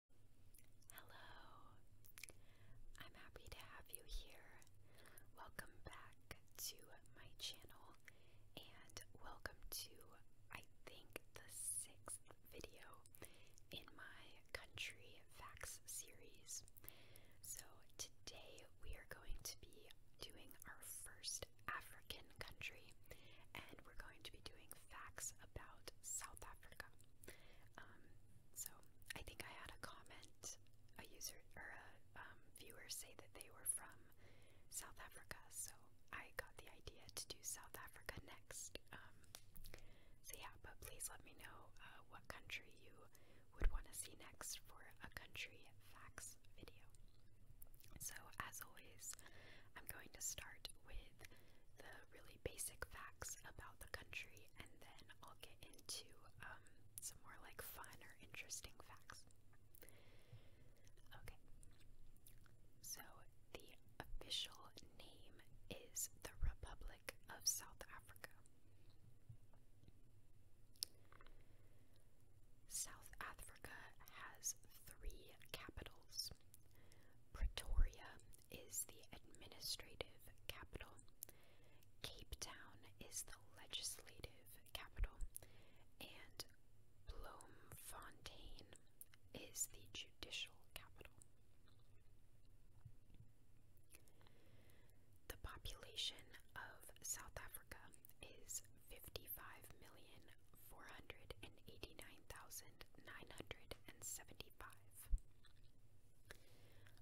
Hello, I'm happy to have you here. Welcome back to my channel, and welcome to, I think, the sixth video in my Country Facts series. So, today we are going to be doing our first African country, and we're going to be doing facts about South Africa. Um, so I think I had a comment, a user or a um, viewer say that they were from South Africa. So I got the idea to do South Africa next. Um, so yeah, but please let me know uh, what country you would want to see next for a country facts video. So as always, I'm going to start with the really basic facts about the country, and then I'll get into um, some more like fun or interesting facts. Okay, so the official name is the Republic of South Africa. South Africa has three capitals Pretoria is the administrative capital. Cape Town is the legislative capital. And Bloemfontein is the judicial capital. The population of South Africa is 55,489,975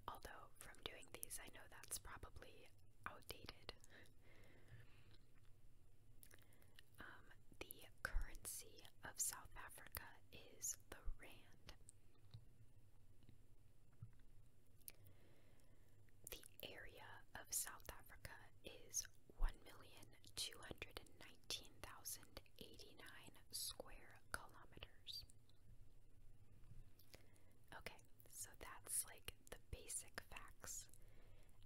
Although, from doing these, I know that's probably outdated. Um, the currency of South Africa is the rand. The area of South Africa is 1,219,000 89 square kilometers. Okay, so that's like the basic facts.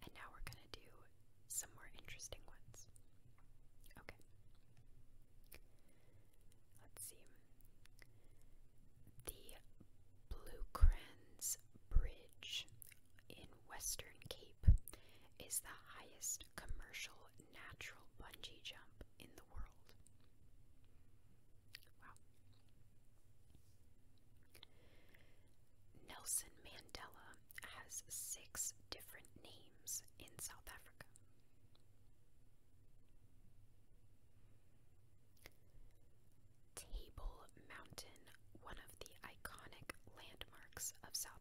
And now we're going to do some more interesting ones. Okay. Let's see. The Blue Crens Bridge in Western Cape is the highest commercial natural bungee jump in the world. Nelson Mandela has six different names in South Africa. Table Mountain, one of the iconic landmarks of South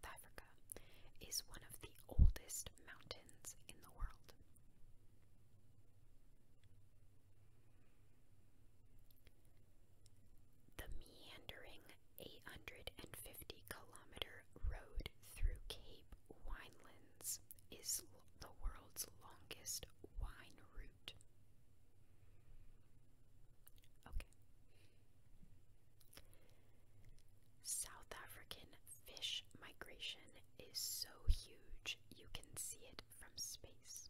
is one of the oldest mountains in the world. The meandering 850 kilometer road through Cape Winelands is the world's longest wine route. South African fish migration is so huge you can see it from space.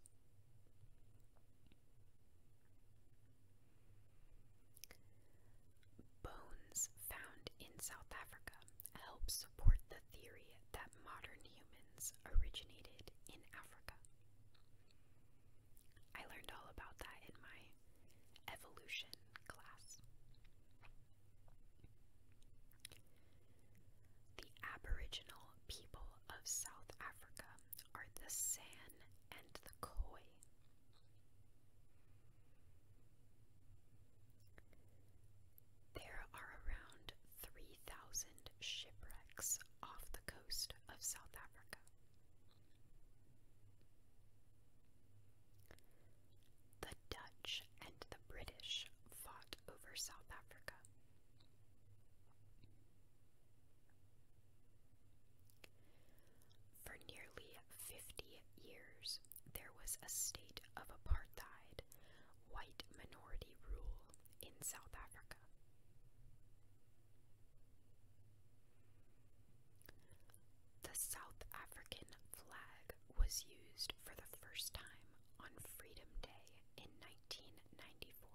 Bones found in South Africa help support the theory that modern humans originated in Africa. I learned all about that in my evolution class. The Aboriginal people of South Africa are the San and the Khoi. There are around 3,000 shipwrecks off the coast of South Africa. The Dutch and the British fought over South Africa. For nearly 50 years, there was a state of apartheid, white minority rule in South Africa. The South African flag was used for the first time on Freedom Day in 1994.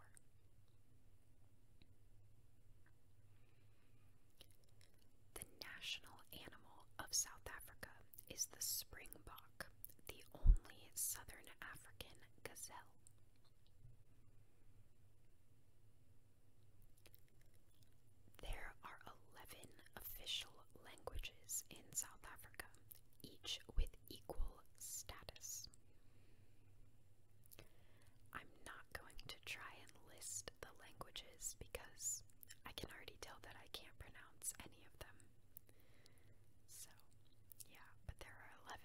The national animal of South Africa is the springbok, the only southern African gazelle. There are 11 official languages in South Africa, each with equal status. I'm not going to try and list the languages because I can already tell that I can't pronounce any of them. So, yeah, but there are 11.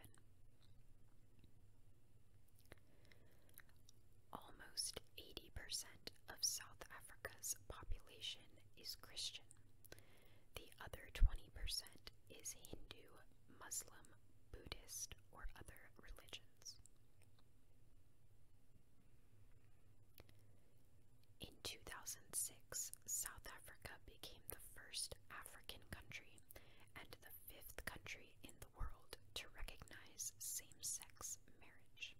Almost 80% of South Africa's population is Christian. The other 20% is Hindu, Muslim, Buddhist, or other religions. In 2006, South Africa became the first African country and the fifth country in the world to recognize same sex marriage.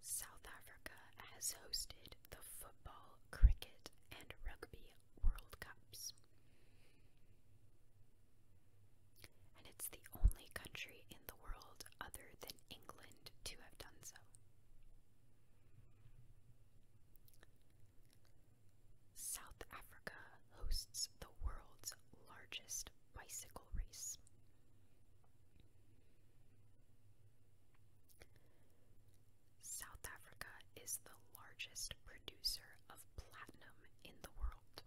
South Africa has hosted the football, cricket, and rugby World Cups. And it's the only country in the world other than England to have done so. South Africa hosts the world's largest bicycle race. South Africa is the largest producer of platinum in the world.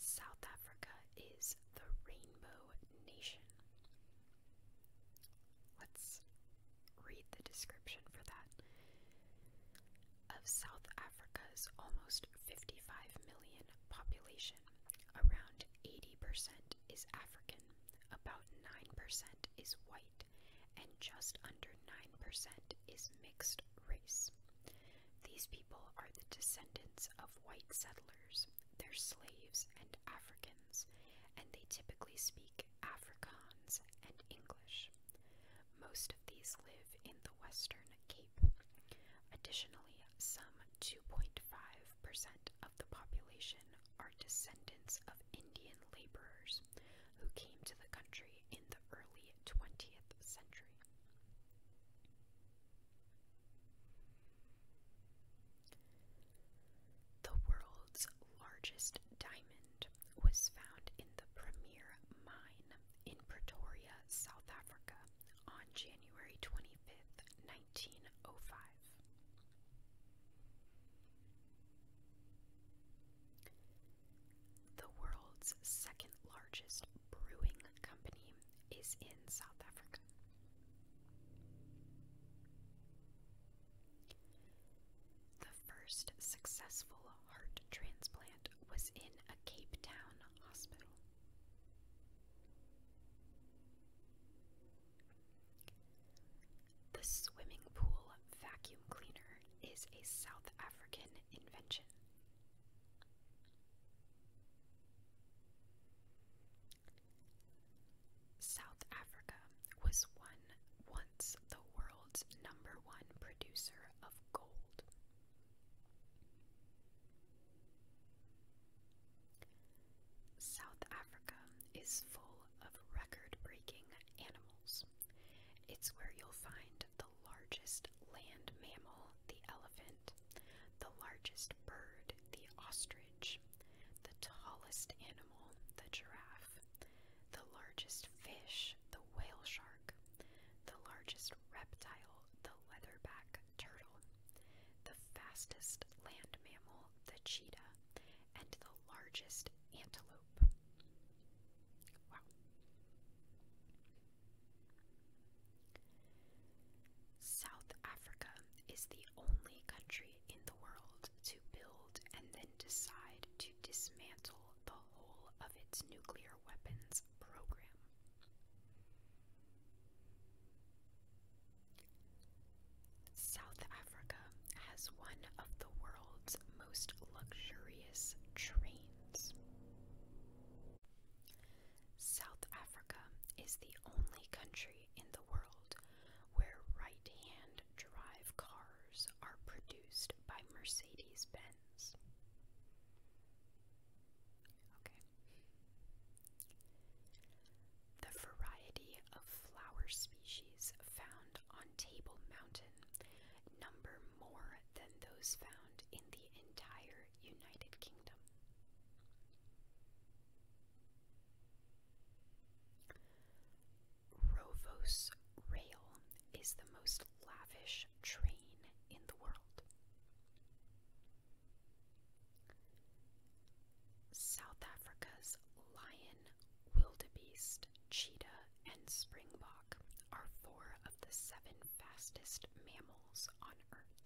South Africa is the rainbow nation. Let's read the description for that. Of South Africa's almost 55 million population, around 80% is African, about 9% is white, and just under 9% is mixed race. These people are the descendants of white settlers they're slaves, and Africans, and they typically speak Afrikaans and English. Most of these live in the Western Cape. Additionally, some 2.5% of the population are descendants of Indian laborers who came to the country in the early 20th century. The world's largest diamond was found in the Premier Mine in Pretoria, South Africa on January 25, 1905. The world's second largest brewing company is in South Africa. The first successful heart transplant was in a Cape Town hospital. The swimming pool vacuum cleaner is a South African invention. South Africa was once the world's number one producer of gold. South Africa is full of record-breaking animals. It's where you'll find the largest land mammal, the elephant the largest bird, the ostrich, the tallest animal, the giraffe, the largest fish, the whale shark, the largest reptile, the leatherback turtle, the fastest land mammal, the cheetah, and the largest antelope. Wow. South Africa is the only country in the world to build and then decide to dismantle the whole of its nuclear weapons program. South Africa has one of the world's most luxurious trains. South Africa is the only country in the world where right hand drive cars are produced by Mercedes Benz. Okay. The variety of flower species found on Table Mountain number more than those found in the entire United Kingdom. Rovos Rail is the most lavish train in the world. South Africa's lion, wildebeest, cheetah, and springbok are four of the seven fastest mammals on Earth.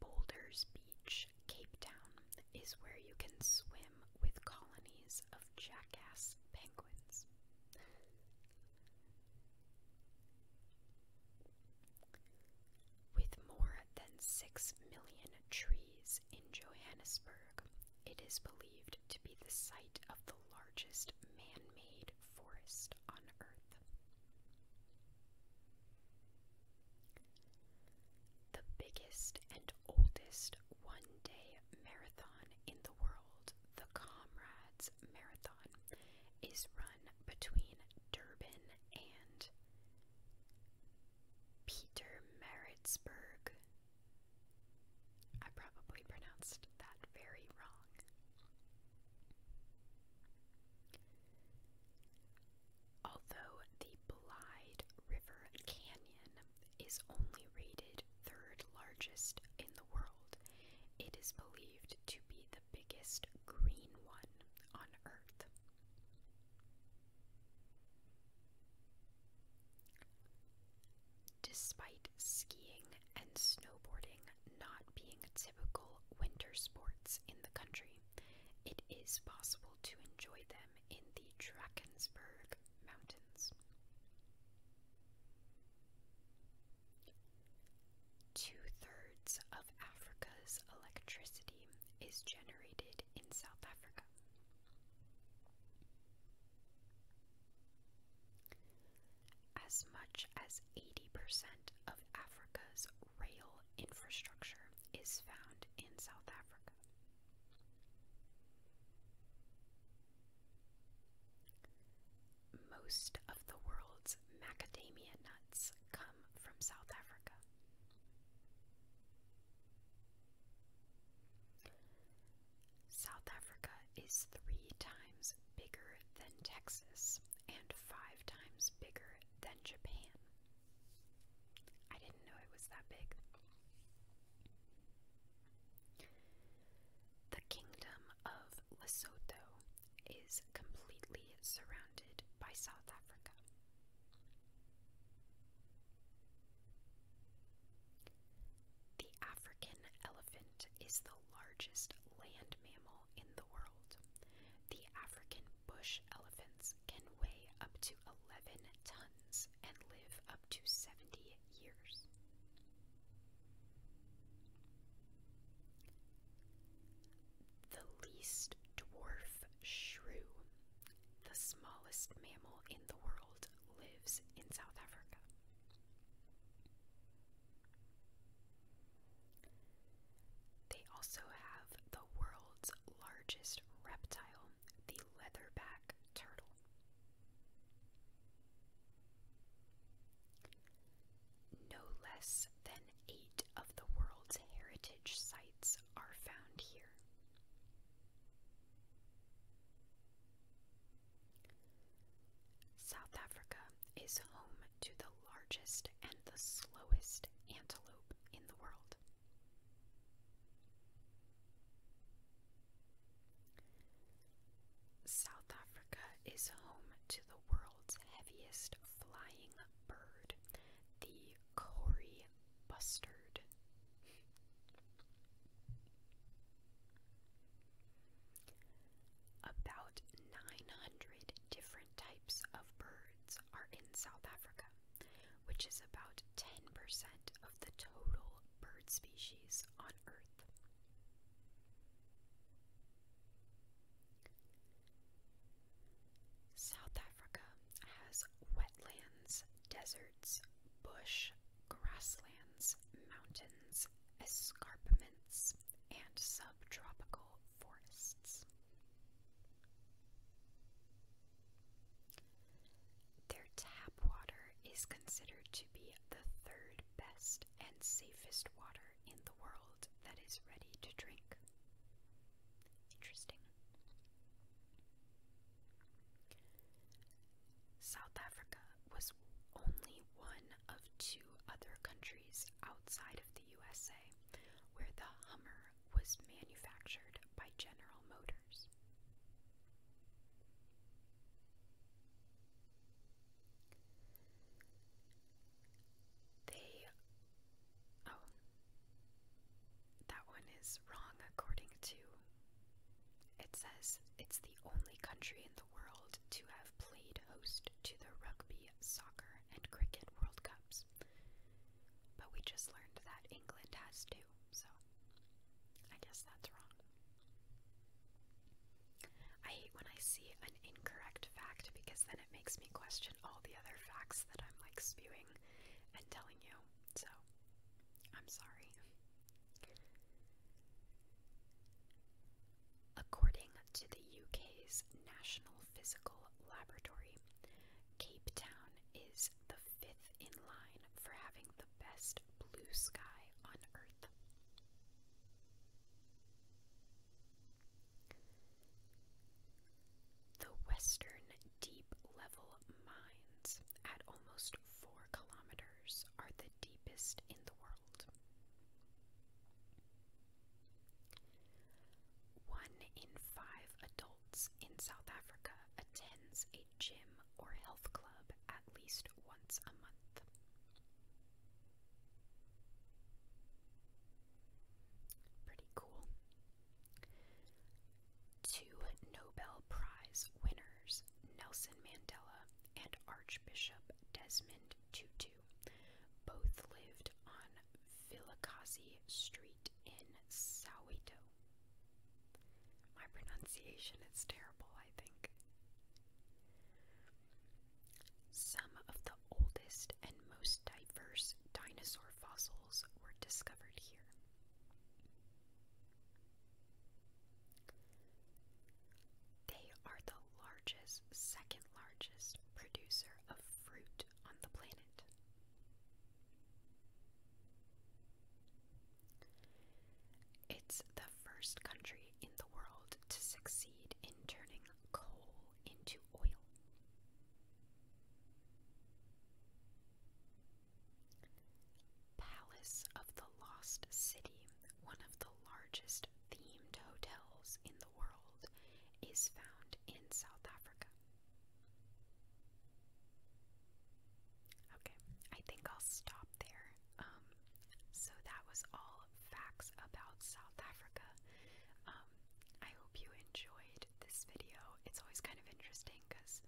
Boulders Beach, Cape Town, is where you can swim with colonies of jackass penguins. With more than 6 million trees in Johannesburg, it is believed to be the site of the largest man made forest on Earth. The biggest and oldest one day marathon in the world, the Comrades Marathon, is run between Durban and Peter Maritzburg, I probably pronounced that very wrong. Although the Blyde River Canyon is only rated third largest in the world, it is believed to be the biggest green one on Earth. Despite skiing and snowboarding not being typical winter sports in the country, it is possible to enjoy them in the Drakensberg Mountains. Two thirds of Africa's electricity is generated in South Africa. As much as 80% of Africa's rail infrastructure is found in South Africa. Most of the world's macadamia nuts come from South Africa. South Africa is three times bigger than Texas and five times bigger than Japan. I didn't know it was that big. The Kingdom of Lesotho is completely surrounded by South Africa. The African elephant is the largest land mammal in the world. The African bush elephants can weigh up to 11 tons and live up to 70 years. The least dwarf shrew, the smallest mammal in the world, lives in South Africa. They also have the world's largest reptile, the leatherback turtle. No less than eight of the world's heritage sites are found here. South Africa is home to the largest and the slowest antelope in the world. South Africa is home to the world's heaviest flying bird, the Cory bustard. About 900 different types of birds are in South Africa, which is about 10% of the total bird species on Earth. South Africa has wetlands, deserts, bush, grasslands, mountains, escarpments, and subtropical forests. Their tap water is considered to be the third best and safest water in the world that is ready to drink. Interesting. South Africa was only one of two other countries outside of the USA where the Hummer was manufactured by General Motors. They. Oh. That one is wrong according to it says it's the only country in the world to have played host to the Rugby, Soccer, and Cricket World Cups. But we just learned that England has too, so I guess that's wrong. I hate when I see an incorrect fact because then it makes me question all the other facts that I'm like spewing and telling you, so I'm sorry. According to the UK's National Physical Laboratory, Cape Town is the fifth in line for having the best blue sky on Earth. The Western Deep Level Mines, at almost 4 kilometers are the deepest in the world. One in five adults in South Africa attends a gym or health club at least once a month. Pretty cool. Two Nobel Prize winners, Nelson Mandela and Archbishop Desmond Tutu. Both lived on Vilakazi Street in Soweto. My pronunciation is terrible, I think. Some of the oldest and most diverse dinosaur fossils were discovered here. They are the largest, second largest producer of fruit on the planet. It's the first country in the world to succeed in turning coal into oil. Palace of the Lost City, one of the largest themed hotels in the world, is found in South Africa. Okay, I think I'll stop there. Um, so that was all facts about South Africa. Um, I hope you enjoyed this video. It's always kind of interesting because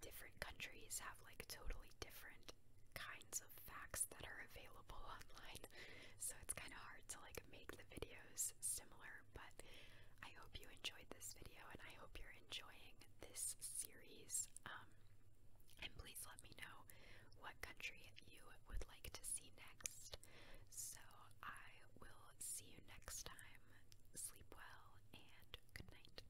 different countries have like totally different kinds of facts that are available online, so it's kind of hard to like make the videos similar. But I hope you enjoyed this video, and I hope you're enjoying this series. Um, and please let me know what country you would like to see next. So I will see you next time. Sleep well and good night.